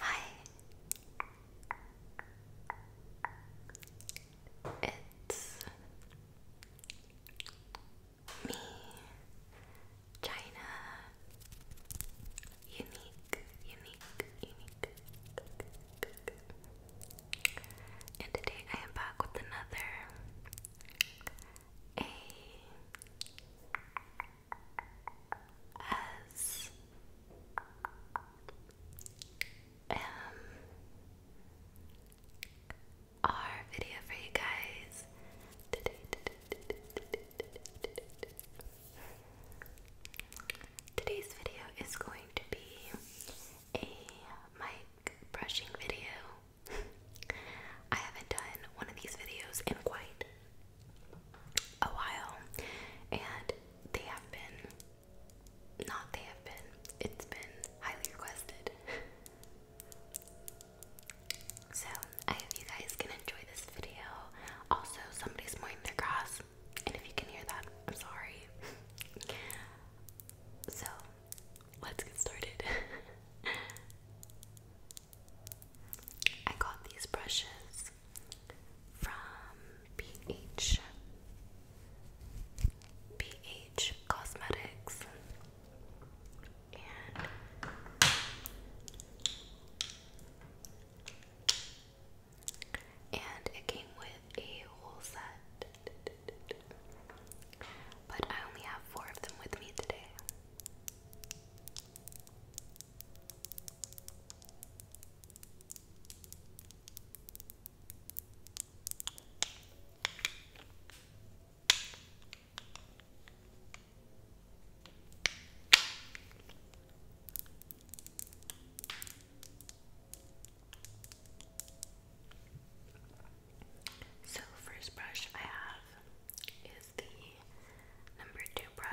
Hi, it's me, China, unique, unique, unique. And today I am back with another A S M um, ASMR video for you guys. Today's video is going to be a mic brushing video. I haven't done one of these videos in quite a while, and they have been, not they have been, it's been highly requested. So, I hope you guys can enjoy this video. Also, somebody's mowing their grass, and if you can hear that, I'm sorry. so, let's get started. I got these brushes from PH PH Cosmetics and it came with a whole set, but I only have four of them with me today. So, first brush I have is the number two brush.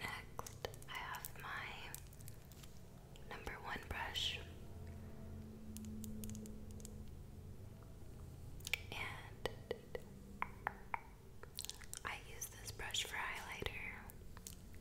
Next, I have my number one brush, and I use this brush for highlighter.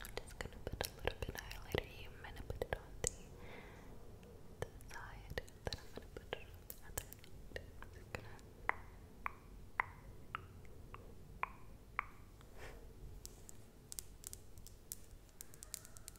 I'm just gonna put a little bit highlighter here. I'm gonna put it on the, side, then I'm gonna put it on the other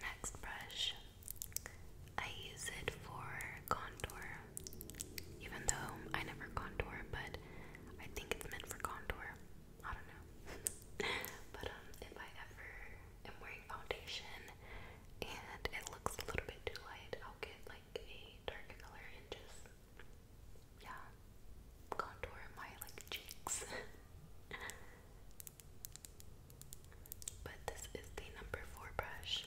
Next brush, I use it for contour, even though I never contour, but I think it's meant for contour. I don't know. but um, if I ever am wearing foundation and it looks a little bit too light. I'll get like a darker color and just, yeah, contour my like cheeks. but this is the number four brush.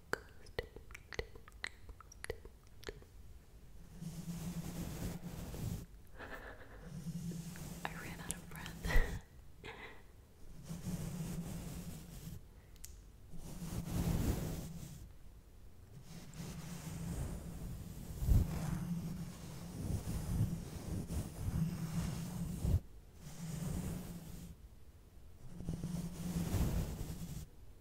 focused. I ran out of breath.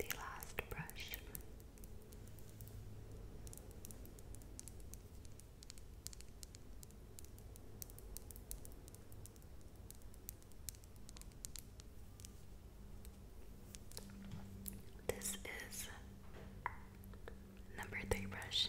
The last brush this is number three brush.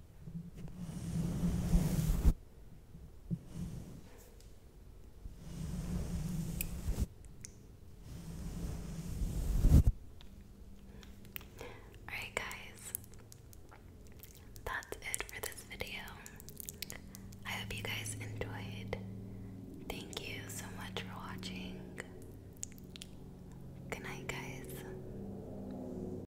Alright, guys, that's it for this video. I hope you guys enjoyed. Thank you so much for watching. Good night, guys.